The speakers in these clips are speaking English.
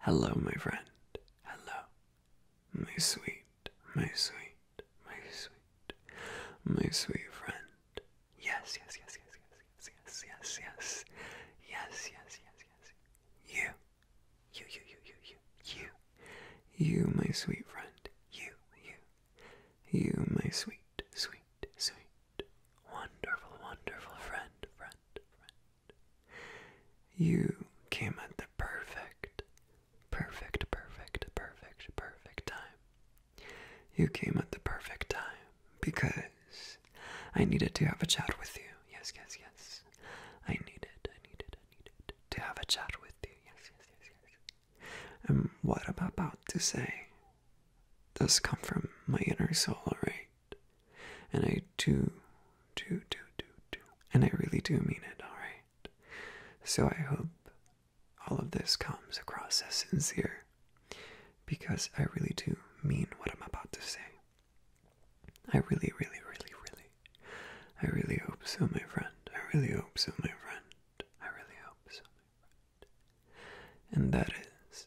Hello, my friend. Hello. My sweet, my sweet, my sweet, my sweet friend. Yes, yes, yes, yes, yes, yes, yes, yes, yes, yes, yes, yes, yes. You, you, you, you, you, you, you, you, my sweet friend. You, you, you, my sweet, sweet, sweet, wonderful, wonderful friend, friend, friend, you came at the perfect, perfect, perfect, perfect, perfect time. You came at the perfect time because I needed to have a chat with you. Yes, yes, yes. I needed, I needed, I needed to have a chat with you. Yes, yes, yes, yes. And what I'm about to say does come from my inner soul, alright? And I do, do, do, do, do. And I really do mean it, alright? So I hope all of this comes across as sincere because I really do mean what I'm about to say. I really, really, really, really, I really hope so, my friend. I really hope so, my friend. I really hope so, my friend. And that is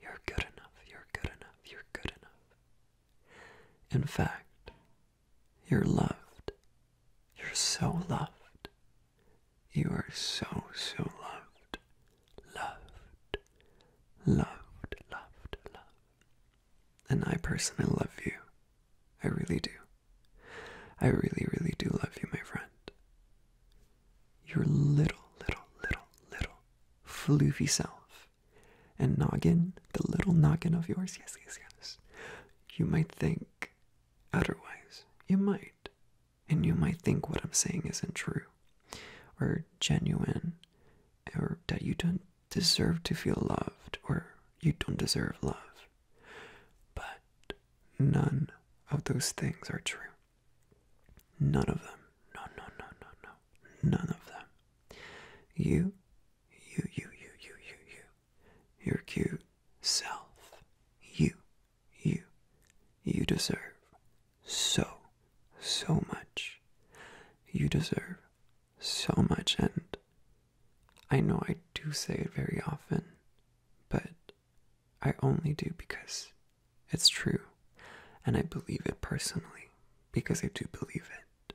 You're good enough, you're good enough, you're good enough. In fact, you're loved. You're so loved. You are so, so loved. Loved, loved, loved, loved. And I personally love you. I really do. I really, really do love you, my friend your little, little, little, little floofy self. And noggin, the little noggin of yours, yes, yes, yes. You might think otherwise. You might. And you might think what I'm saying isn't true or genuine or that you don't deserve to feel loved or you don't deserve love. But none of those things are true. None of them. No, no, no, no, no. None of them. You, you, you, you, you, you, you. Your cute self. You, you, you deserve so, so much. You deserve so much, and I know I do say it very often, but I only do because it's true, and I believe it personally because I do believe it.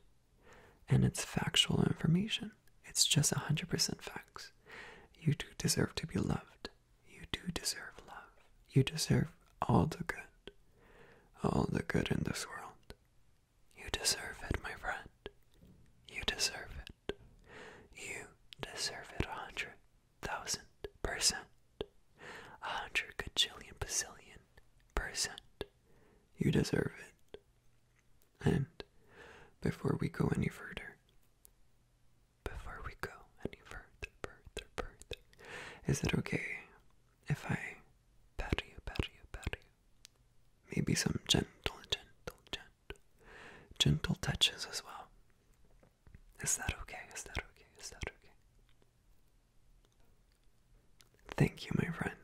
And it's factual information, it's just 100% facts. You do deserve to be loved. You do deserve love. You deserve all the good, all the good in this world. You deserve it, my friend. You deserve it. You deserve it a hundred thousand percent, a hundred gajillion bazillion percent. You deserve it. And before we go any further, before we go any further, further, further, is it okay if I pat you, pat you, pat you? Maybe some gentle, gentle, gentle touches as well. Is that okay? Is that okay? Is that okay? Thank you, my friend.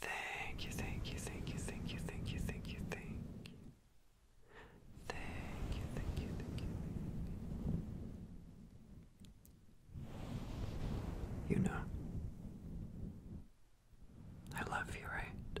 Thank you, thank you, thank you, thank you, thank you, thank you, thank you. Thank you, thank you, You know, I love you, right?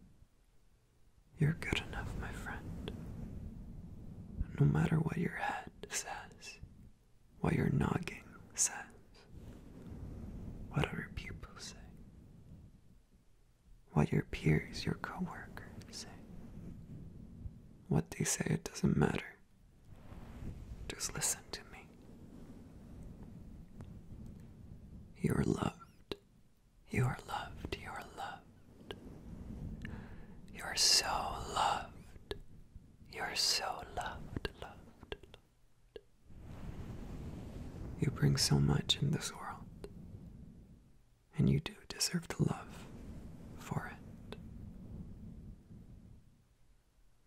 You're good enough, my friend. No matter what your head says, what your noggin says, what other people say, what your peers, your coworkers say, what they say, it doesn't matter. Just listen to me. Your love. You are loved. You are loved. You are so loved. You are so loved, loved. You bring so much in this world, and you do deserve to love for it.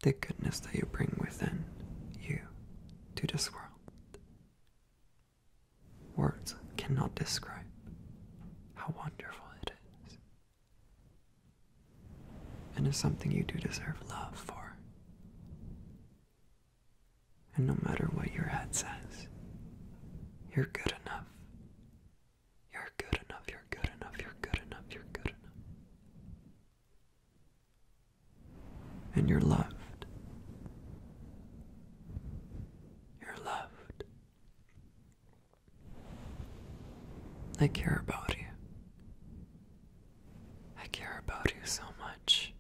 The goodness that you bring within you to this world Words cannot describe how wonderful it is. And it's something you do deserve love for. And no matter what your head says, you're good enough. You're good enough, you're good enough, you're good enough, you're good enough and you're loved. You're loved. I care about you. I care about you so much.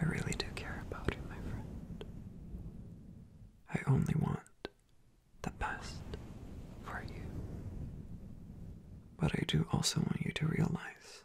I really do care about you, my friend. I only want the best for you. But I do also want you to realize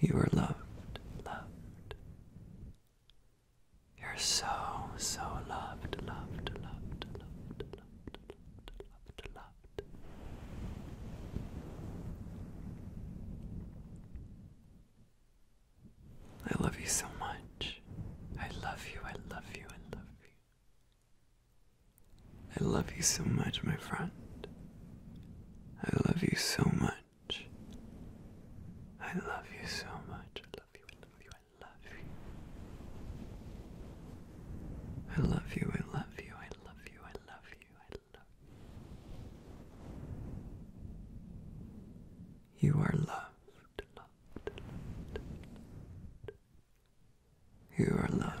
You are loved, loved. You're so, so loved, loved, loved, loved, loved, loved, loved, loved. I love you so much. I love you, I love you, I love you. I love you so much, my friend. I love you so much. I love you so much. I love you. I love you. I love you. I love you. I love you. I love you. I love you. I love you. You are loved. You are loved.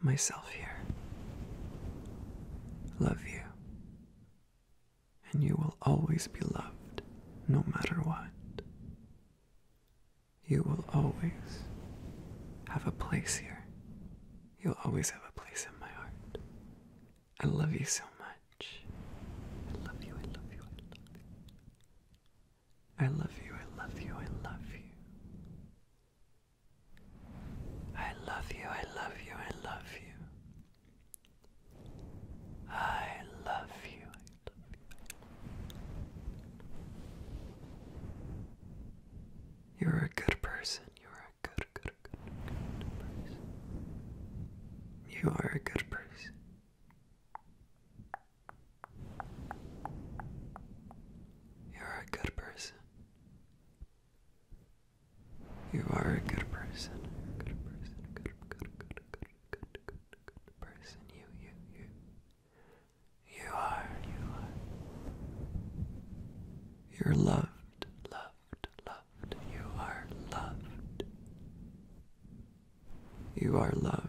myself here. Love you. And you will always be loved, no matter what. You will always have a place here. You'll always have a place in my heart. I love you so much. I love you, I love you, I love you, I love you, I love you. I love you, I love you, I love you. I love you, I love you. You're a good person, you're a good, good, good, good person. You are a good person. You're a good person. You are a good person. You're a good person. Good, good, good, good, good, good, good person. You, you, you. You are, you are. You're loved, loved, loved. You are loved. You are loved.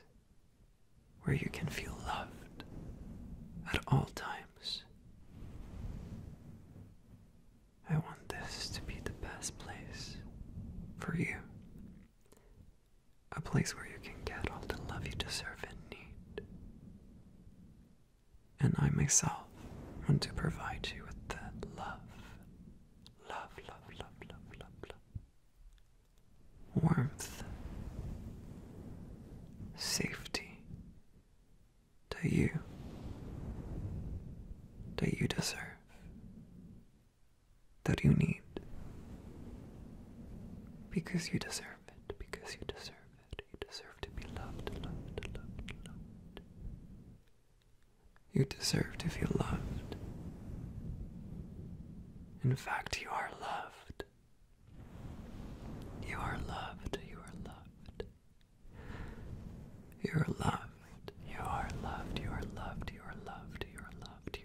place where you can feel loved at all times. I want this to be the best place for you. A place where you can get all the love you deserve and need. And I myself want to provide you with that love. Love, love, love, love, love, love warmth, safety to you that you deserve, that you need, because you deserve it, because you deserve it, you deserve to be loved, loved, loved, loved. You deserve to feel loved. In fact, you are loved. You are loved. You are loved. You are loved. You are loved. You are loved. You are loved. You are loved.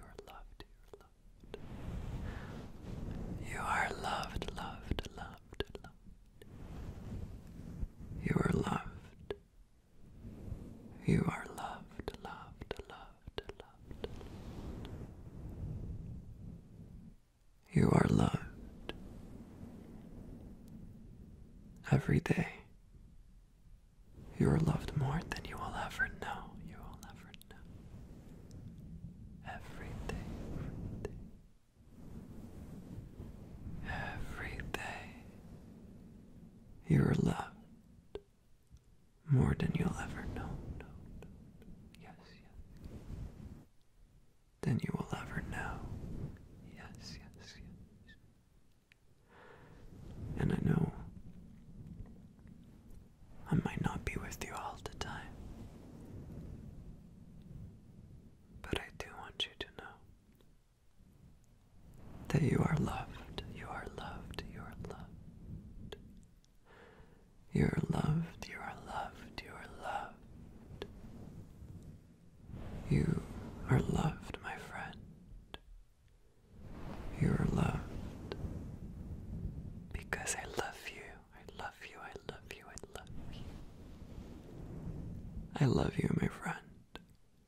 You are loved. You are loved. You are loved. Loved. Loved. Loved. You are loved. You are loved, loved, loved, loved. You are loved every day. You are loved more than you will ever know. You will ever know. every day. Every day you are loved more than you'll ever know. Yes, yes. Than you will ever know. yes, yes. And I know I might not be with you all the time. But I do want you to know that you are loved, you are loved, you are loved. You are loved, you are loved, you are loved. You are loved, my friend. You are loved because I love you. I love you, I love you, I love you. I love you, my friend.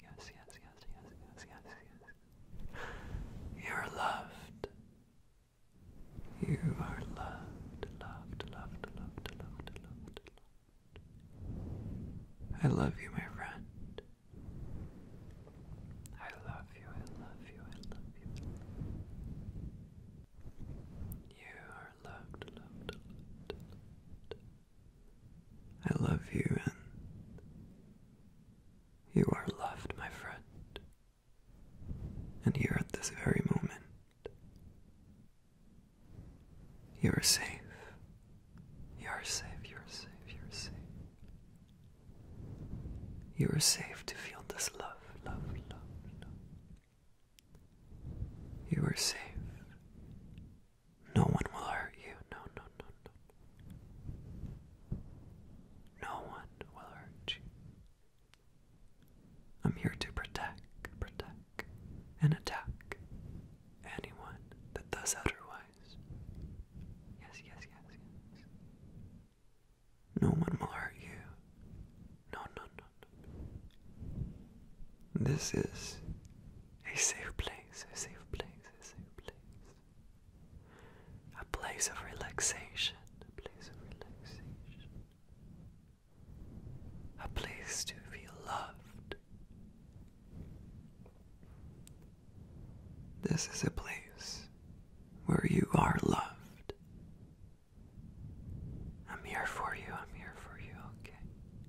yes, yes, yes, yes, yes, yes, yes. You're loved. You are loved, loved, loved, loved, loved, loved, loved. I love you, my friend. I love you, I love you, I love you. You are loved, loved, loved, loved. I love you and you are loved, my friend. And here at this very moment, you are safe. You are safe, you are safe, you are safe. You are safe to feel this love, You are safe no one will hurt you. No, no, no, no. No one will hurt you. I'm here to protect, protect, and attack anyone that does otherwise. Yes, yes, yes, yes. No one will hurt you. No, no, no, no. This is a safe place, a safe place, a safe place. A place of relaxation, a place of relaxation. A place to feel loved. This is a place where you are loved. I'm here for you, I'm here for you, okay?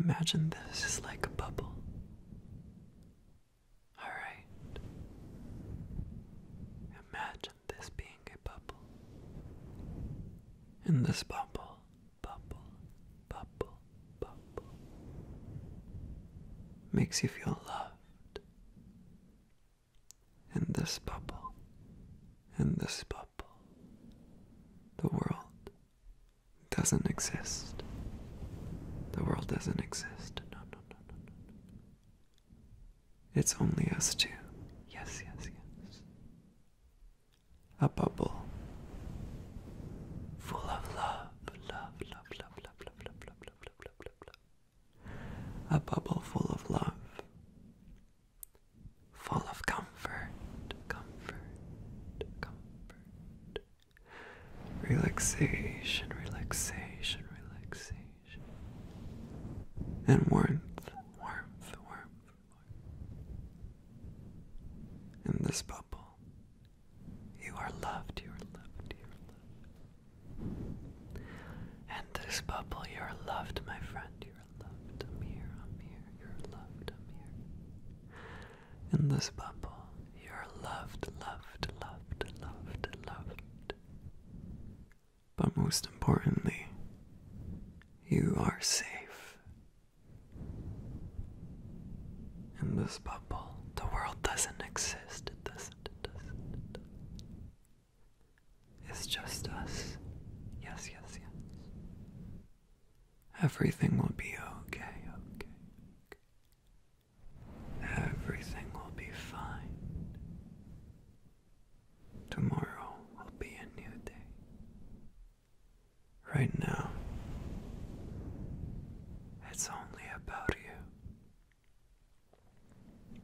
Imagine this is like a bubble. Alright. Imagine this being a bubble. In this bubble, bubble, bubble, bubble. Makes you feel loved. In this bubble, in this bubble, the world doesn't exist. The world doesn't exist. No, no, no, no, no. It's only us two. Yes, yes, yes. A bubble full of love, love, love, love, love, love, love, love, love, love, love, love, love. A bubble full of love full of comfort, comfort, comfort. Relaxation, relaxation, relaxation. And warmth, warmth, warmth, warmth. In this bubble, you are loved, you are loved, you are loved. And this bubble, you are loved, my friend. You're loved, Amir, Amir. You're loved, Amir. In this bubble, you're loved, loved, loved, loved, loved. But most importantly, you are safe. In this bubble, the world doesn't exist. It doesn't, it doesn't, it doesn't. It's just us. Yes, yes, yes. Everything will be okay, okay, Everything will be fine. Tomorrow will be a new day. Right now, it's only about you.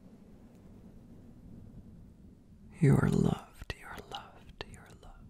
You are loved, you are loved, you are loved.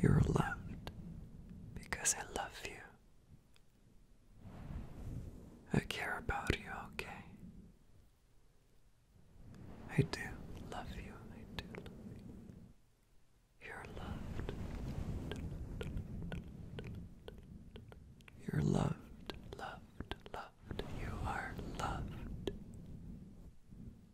you're loved because I love you. I care about you, okay? I do love you, I do love you. You're loved. You're loved, loved, loved. You are loved.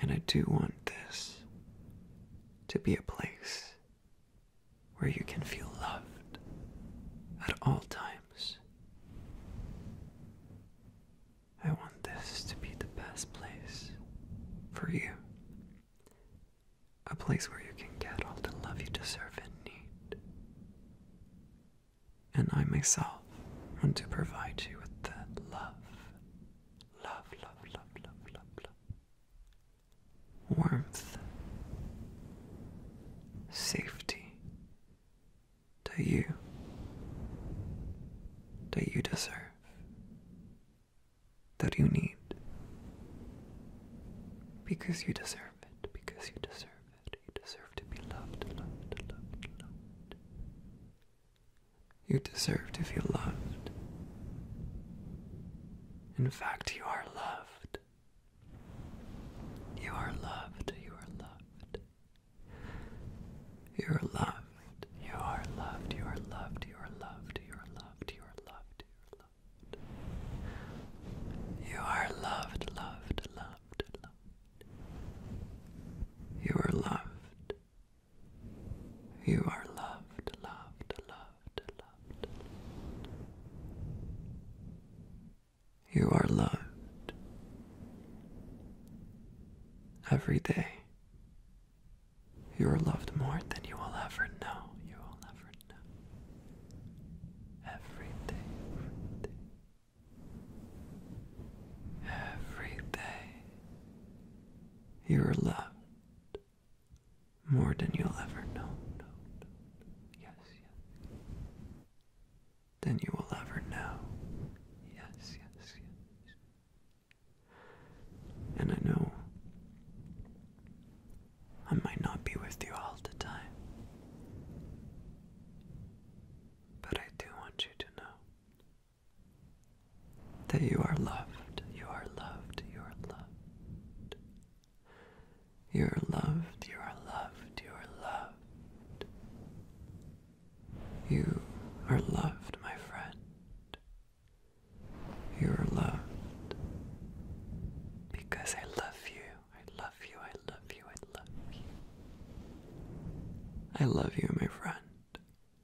And I do want this to be a place where you can feel loved at all times. I want this to be the best place for you. A place where you can get all the love you deserve and need. And I myself want to provide you with that love Love, love, love, love, love, love. Warmth. Safety. That you. That you deserve. That you need. Because you deserve it. Because you deserve it. You deserve to be loved, loved, loved, loved. You deserve to feel loved. In fact, you are loved. You are loved. You are loved. You are loved. You are loved. You are loved. You are loved. You are loved. You are loved. You are loved. You are loved, loved, loved. You are loved. You are loved, loved, loved, loved. You are loved every day. You are loved more than you will ever know. You will never know. Every day, every day, every day, you're loved more than you'll ever know. No, Yes, yes. Than you will ever know. Yes, yes, yes. And I know I might not be with you all the time. But I do want you to know that you are loved, you are loved, you are loved. You are loved, you are loved, you are loved. You are loved, my friend. You are loved because I love you. I love you, I love you, I love you. I love you, my friend.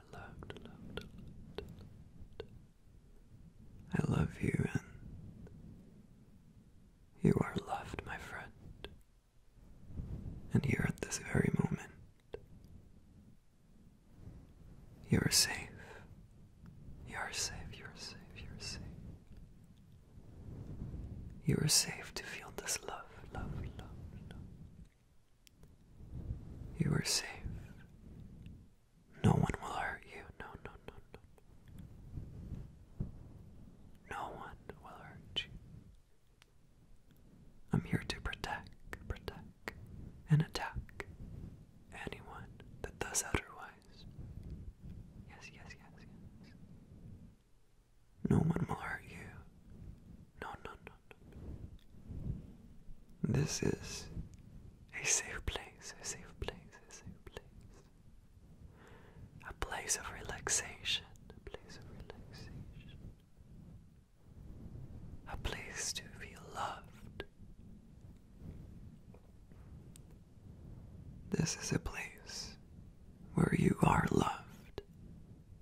are loved, loved, loved, I love you and you are loved, my friend. And here at this very moment, you are safe. You are safe, you are safe, you are safe. You are safe to feel this love, love, love, love. You are safe. No one will hurt you. No, no, no, no. No one will hurt you. I'm here to protect, protect, and attack anyone that does otherwise. Yes, yes, yes, yes. No one will hurt you. No, no, no, no. This is a safe place, a safe place, a safe place. A place of relaxation, a place of relaxation. A place to be loved. This is a place where you are loved.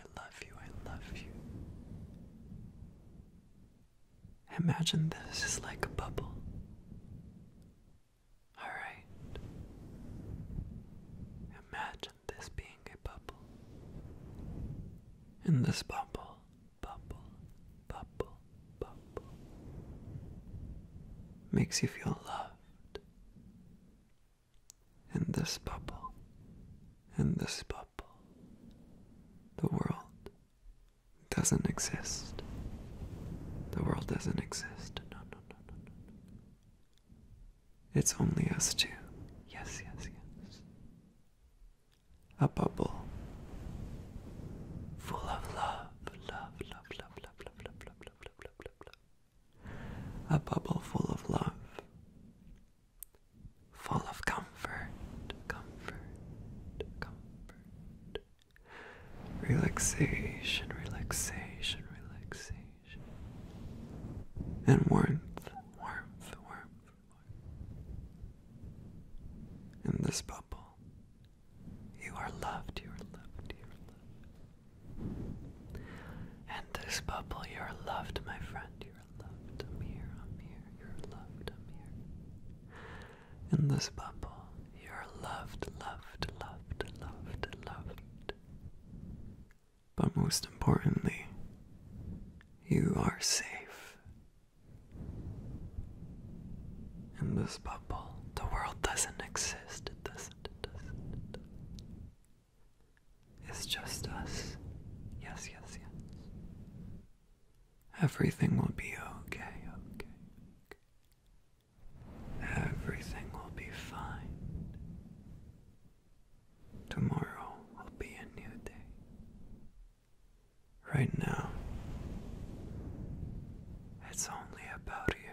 I love you, I love you. Imagine this is like a bubble. Alright. Imagine this being a bubble. In this bubble, bubble, bubble, bubble. Makes you feel loved in this bubble, in this bubble. The world doesn't exist. The world doesn't exist. No, no, no, no, no. It's only us two. Yes, yes, yes. A bubble full of love, love, love, love, love, love, love, love, love, love, love, love. A bubble full of love, full of comfort, comfort, comfort. Relaxation, relaxation, relaxation. And warmth, warmth, warmth, warmth. In this bubble, you are loved, you are loved, you are loved. And this bubble, you are loved, my friend. You're loved, Amir, Amir. You're loved, Amir. In this bubble, you're loved, loved, loved, loved, loved. But most importantly, you are safe. In this bubble, the world doesn't exist. It doesn't. It doesn't. It doesn't. It's just us. Yes, yes, yes. Everything will be okay, okay, Everything will be fine. Tomorrow will be a new day. Right now, it's only about you.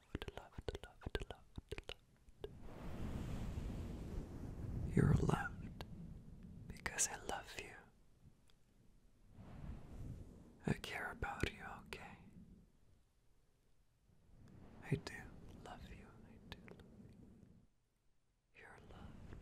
You're loved because I love you. I care about you, okay? I do love you, I do love you. You're loved.